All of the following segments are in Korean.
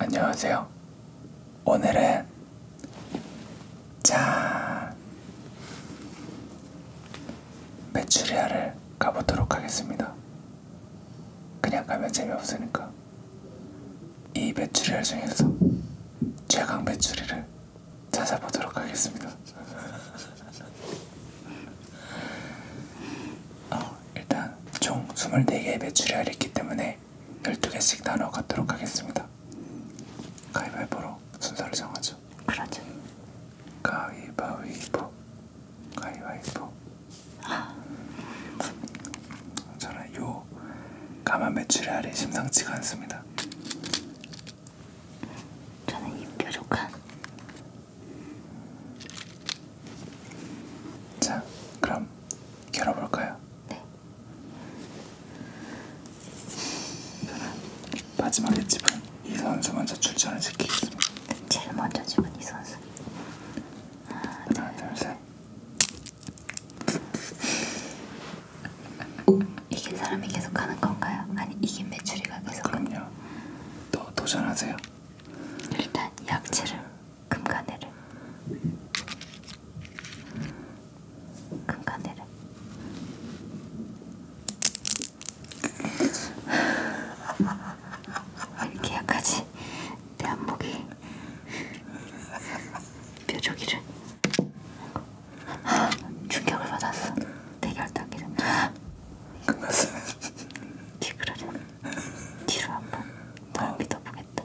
안녕하세요. 오늘은 짠 메추리알을 가보도록 하겠습니다. 그냥 가면 재미없으니까 이 메추리알 중에서 최강 메추리를 찾아보도록 하겠습니다. 어, 일단 총 24개의 매출이 있기 때문에 12개씩 나눠 갖도록 하겠습니다. 가위바위보로 순서를 정하죠. 그러죠. 가위바위보. 가위바위보. 저는 요 까만 메추리알이 심상치가 않습니다. 저는 입 뾰족한. 자, 그럼 열어볼까요? 네. 마지막에 집은 이 선수 먼저 출전을 시키겠습니다. 제일 먼저 집은 이 선수. 하나, 둘, 셋. 이긴 사람이 계속 하는 건가요? 아니 이긴 매출이가 계속. 그럼요. 또 도전하세요. 일단 약재를 금간에를 금간에를 이렇게 약하지 내 안목이 뾰족이를 충격을 받았어. 대결 따기를 끝났어 기그라려 뒤로 한번 널 믿어보겠다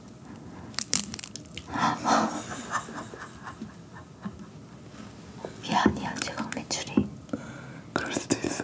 미안이야 제가 매출이 그럴 수도 있어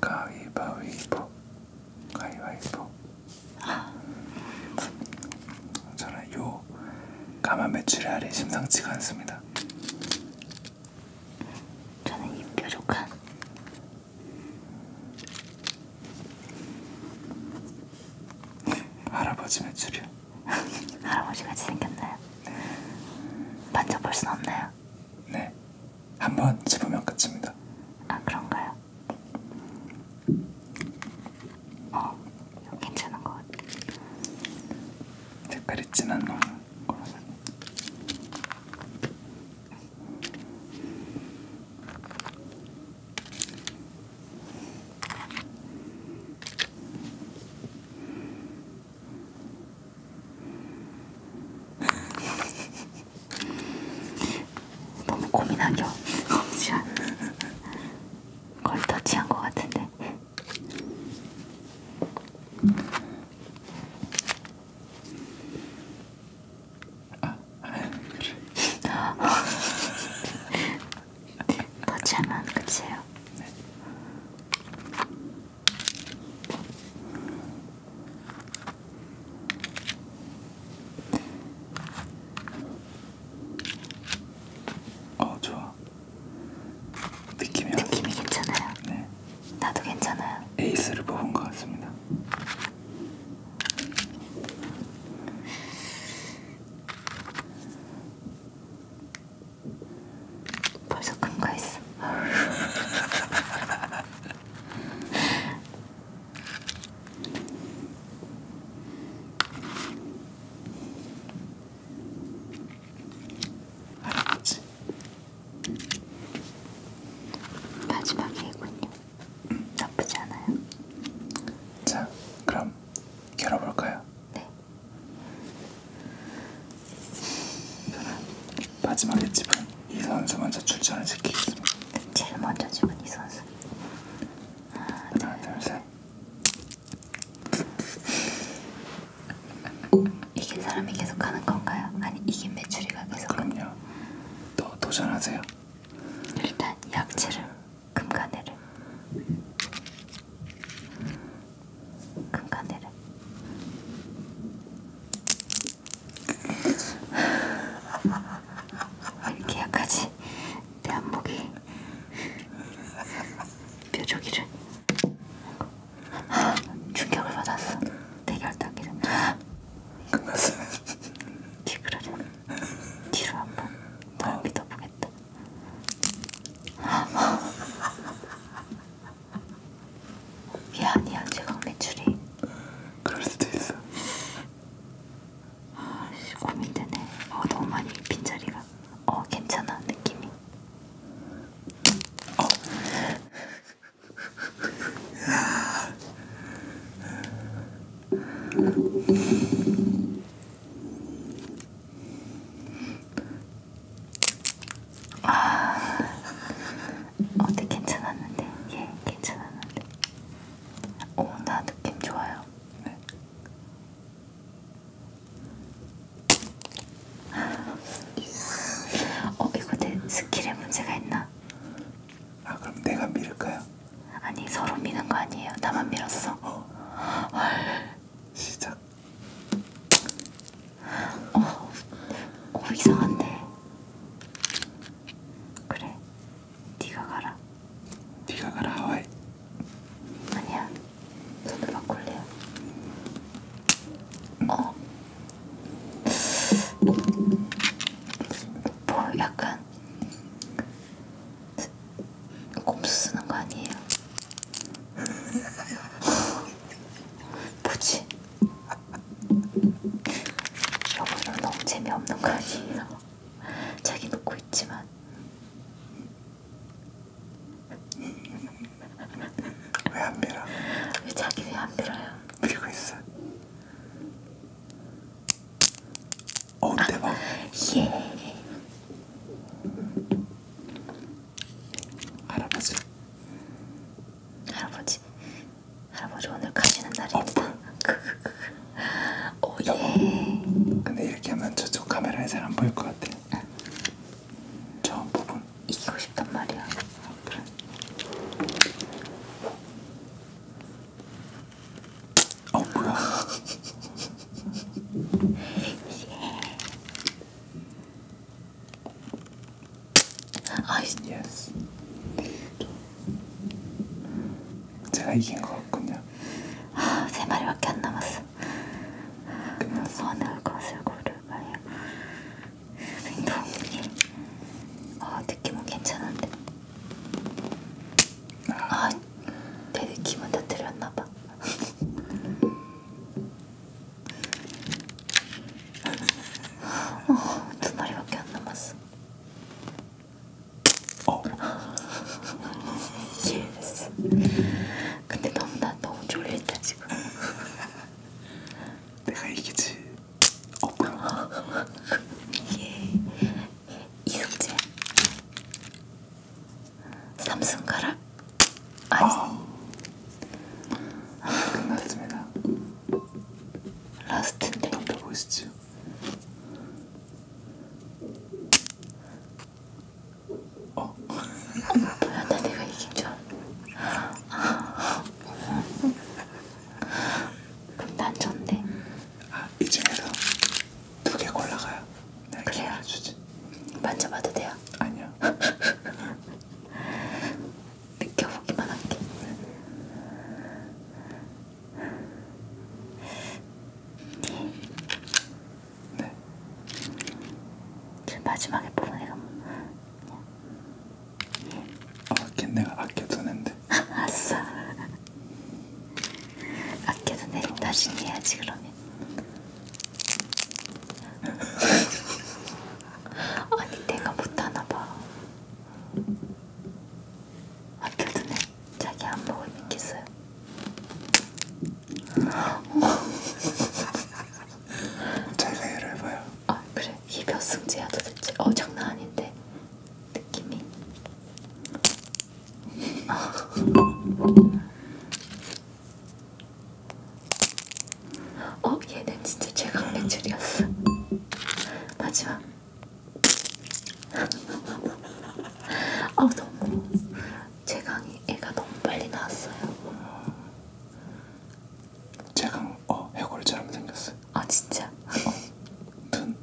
가위바위보 가위바위보 저는 요 까만 메추리알이 심상치가 않습니다 저는 이 뾰족한 네, 할아버지 매출이요. 할아버지 같이 생겼나요? 네. 만져볼 순 없나요? 네. 한번 집으면 끝입니다. 아 그런가요? 어, 이거 괜찮은 것 같아. 색깔이 진한 놈. 너무 고민하기 없지 않아? 걸 터치한 것 같은데. 아, 그래. 터치하면 끝이에요. 네. 어 좋아. 느낌이 느낌이 괜찮아요. 네. 나도 괜찮아요. 에이스를 뽑은 것 같습니다. 벌써 큰거 있어. 알았지? 마지막에 이군요. 음, 나쁘지 않아요. 자, 그럼 열어볼까요? 네. 마지막에 집은 이 선수 먼저 출전을 시키겠습니다. 제일 먼저 집은 이 선수. 하나, 둘, 셋. 이긴 사람이 계속 하는 건가요? 아니 이긴 매출이가 계속. 그럼요. 또 도전하세요. 일단 약재를 금가네를 금가네를 이렇게 약하지 내 안목이 뾰족이를 충격을 받았어 대결 따기를 끝났어요. 기그라리는 뒤로 한번 더 믿어보겠다. 미안이야 제강 매출이. 그럴 수도 있어. 아씨 고민되네. 어 너무 많이 빈자리가. 어 괜찮아 느낌이. 어. 아, 어때 괜찮았는데? 예, 괜찮았는데. 오, 어, 나 느낌 좋아요. 네. 어, 이거 내 스킬에 문제가 있나? 아 그럼 내가 밀을까요? 아니 서로 미는 거 아니에요. 나만 밀었어. 어. 헐. 시작. 어, 어 이상한데. 그래. 네가 가라. 네가 가라 하와이. 아니야. 저도 막걸리야. 음. 어. 뭐 약간 꼼수 쓰는 거 아니에요? 뭐지? 여보는 너무 재미없는 거 아니에요? 자기 놓고 있지만 왜안 밀어? 왜 자기 왜안 밀어요? 밀고 있어. 어우 대박. 아, 예. 할아버지. 할아버지. 할아버지 오늘 가시는 날입니다. 어, 오예. 어, 여보, 근데 이렇게 하면 저쪽 카메라에 잘 안 보일 것 같아. 응. 저 부분. 이기고 싶단 말이야. 아, 그래. 어 뭐야? 아 yes. 제가 이긴 것 같군요. 아, 세 마리밖에 안 남았어. 선을 거슬 고를 말이야. 행동이 어 느낌은 뭐 괜찮은데. 아, 내 느낌은 다 틀렸나봐. 어, 두 마리밖에 안 남았어. 어. 예스. 근데 너무 나 너무 졸린다 지금. 내가 이기지. 어머 예 이승재 삼순가락 아니 어. 끝났습니다 라스트인데 담배 보이시죠? 어 뭐야 아, 나 내가 이긴 줄 알았어 그럼 난전데 아, 이 중에서 두 개 골라가요. 내가 네, 그래요? 주지. 만져봐도 돼요? 아니요. 느껴보기만 할게. 네. 네. 그 마지막에 뽑은 애가 뭐냐? 아, 걔 내가 아껴두는데. 아싸. 아껴둔 애를 나중에 해야지 그러면. 아니 내가 못하나 봐. 아껴둔 애 자기 안 보고 믿겠어요. 제가 해를 봐요. 아 그래 이몇 승제야 어, 도대체? 어 장난 아닌데. 느낌이. 어, 얘는 진짜 최강 매출이었어. 마지막. 아, 너무 최강이 애가 너무 빨리 나왔어요. 최강, 어, 해골처럼 생겼어. 아, 진짜. 어, 눈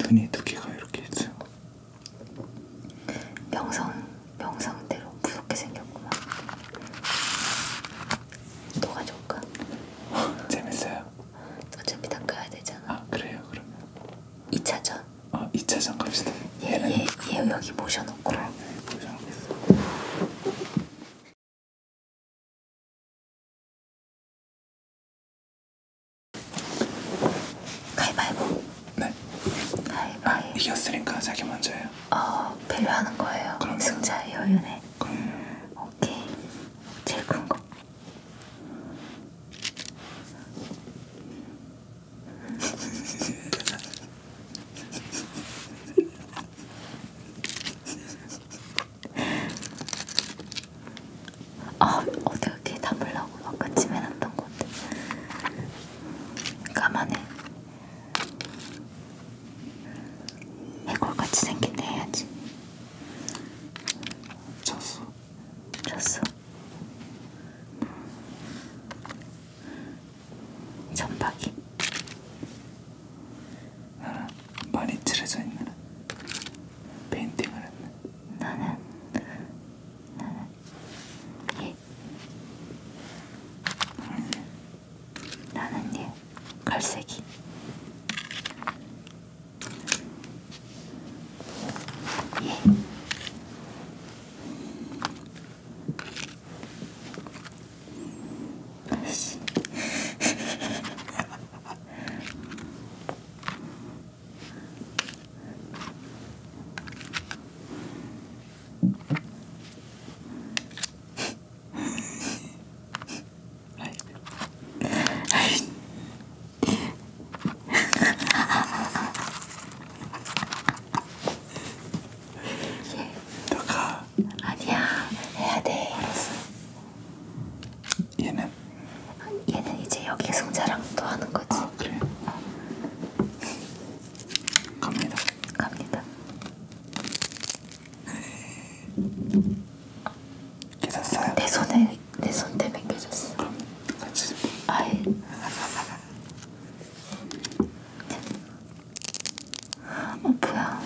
눈이 두 개가 이렇게 있어요. 명성, 명성대로 무섭게 생겼구만. 또 가져올까? 재밌어요. 어차피 닦아야 되잖아. 아 그래요 그러면. 2차전. 아 2차전 갑시다. 얘, 얘, 얘 여기 모셔놓고. 그래, 여기 모셔놓고. 가위바위보. 네. 가위바위보. 아, 이겼으니까 자기 먼저 해요. 어, 필요하는 거예요. 그럼요. 승자의 여유네. 그럼요. 오케이. 제일 큰 거. 아, 어떻게 담으려고 아까 집에 놨던 건데 까만해 해골같이 생긴 데 해야지 졌어 졌어 전박이 나랑 많이 칠해져 있는 페인팅을 했네. 나는 나는 예. 나는 예 갈색이. 예. 예. 아니야 해야 돼. 알았어. 얘는? 얘는 이제 여기 승자랑 또 하는 거지. 아 그래. 갑니다. 갑니다. 깨졌어요? 내 손에 내손 때문에 깨졌어. 그럼 같이. 아예. 어 뭐야?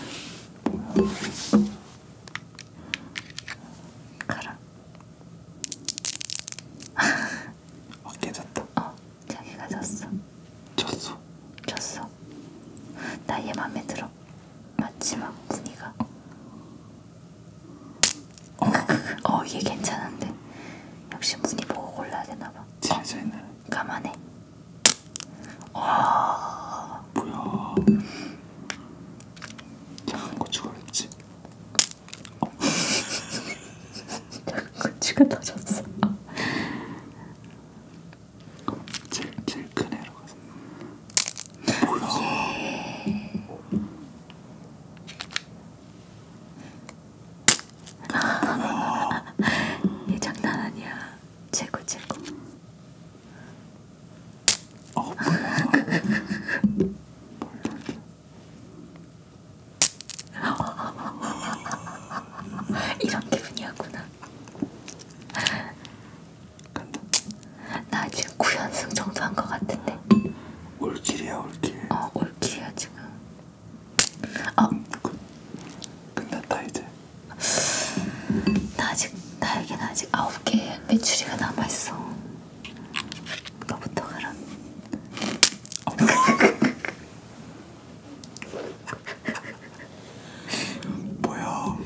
그럼. 어깨 졌다. 어, 자기가 졌어. 졌어. 졌어. 나 얘 맘에 들어. 마지막 분위가. 어, 어, 얘 괜찮은데. 역시 문이 보고 골라야 되나 봐. 진짜 있네. 어, 가만해. 와. 뭐야. 장한 고추가 맵지? 어. 장한 고추가 터졌어 제일, 제일 큰 애라고 해서 뭐야 얘 장난 아니야 최고 최고 어, 이런 기분이었구나. 나 지금 9연승 정도 한것 같은데. 올킬이야 올킬. 어 올킬이야 지금. 어. 끝, 끝났다 이제. 나 아직 나에겐 아직 9개 메추리가 남아있어. 너부터 가라. 뭐야?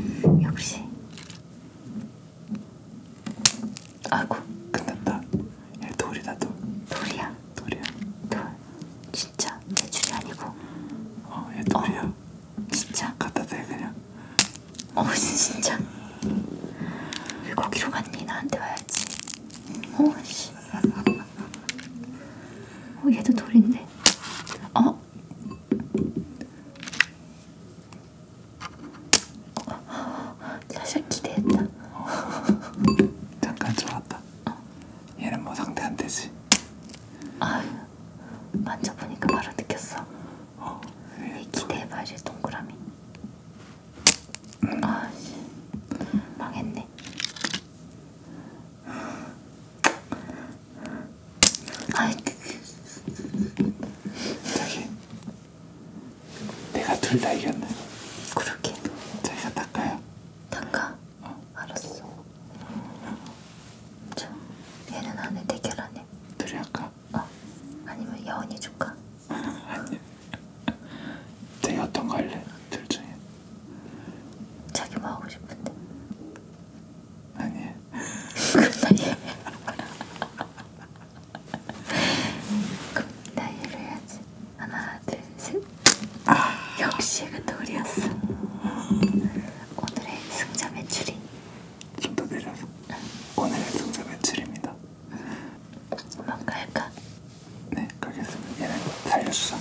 역시. 아이고. 끝났다. 얘 돌이다 돌. 돌이야. 돌이야. 돌. 진짜 메추리 아니고. 어, 얘 돌이야. 어. 진짜? 갖다 대 그냥. 어 진짜. 왜 거기로 갔니? 나한테 와야지. 어 씨. 어 얘도 돌인데. 어? 어? 사실 기대했다. 어. 잠깐 좋았다. 어. 얘는 뭐 상태 안 되지. 아 만져보니까 바로 느꼈어. 어. 기대해봐야지 동그라미. 음. 아, 씨. 망했네. 아, 자기 그, 그, 그, 내가 둘 다 이겼네. 그렇게. 자기가 닦아요. 닦아. 어. 알았어. 자, 얘는 안에 대결하네. 둘이 아까 어? 아니면 여운이 줄까? 아니. 내가 어떤 거 할래? 둘 중에. 자기 뭐 하고 싶은데? 아니. 나이. 나이를 해야지. 하나, 둘, 셋. 아. 역시 그돌이었어 오늘의 승자 매출이 좀더 내려서 오늘의 승자 며칠입니다 뭔가 할까? 네 가겠습니다 얘네 살려주자 어.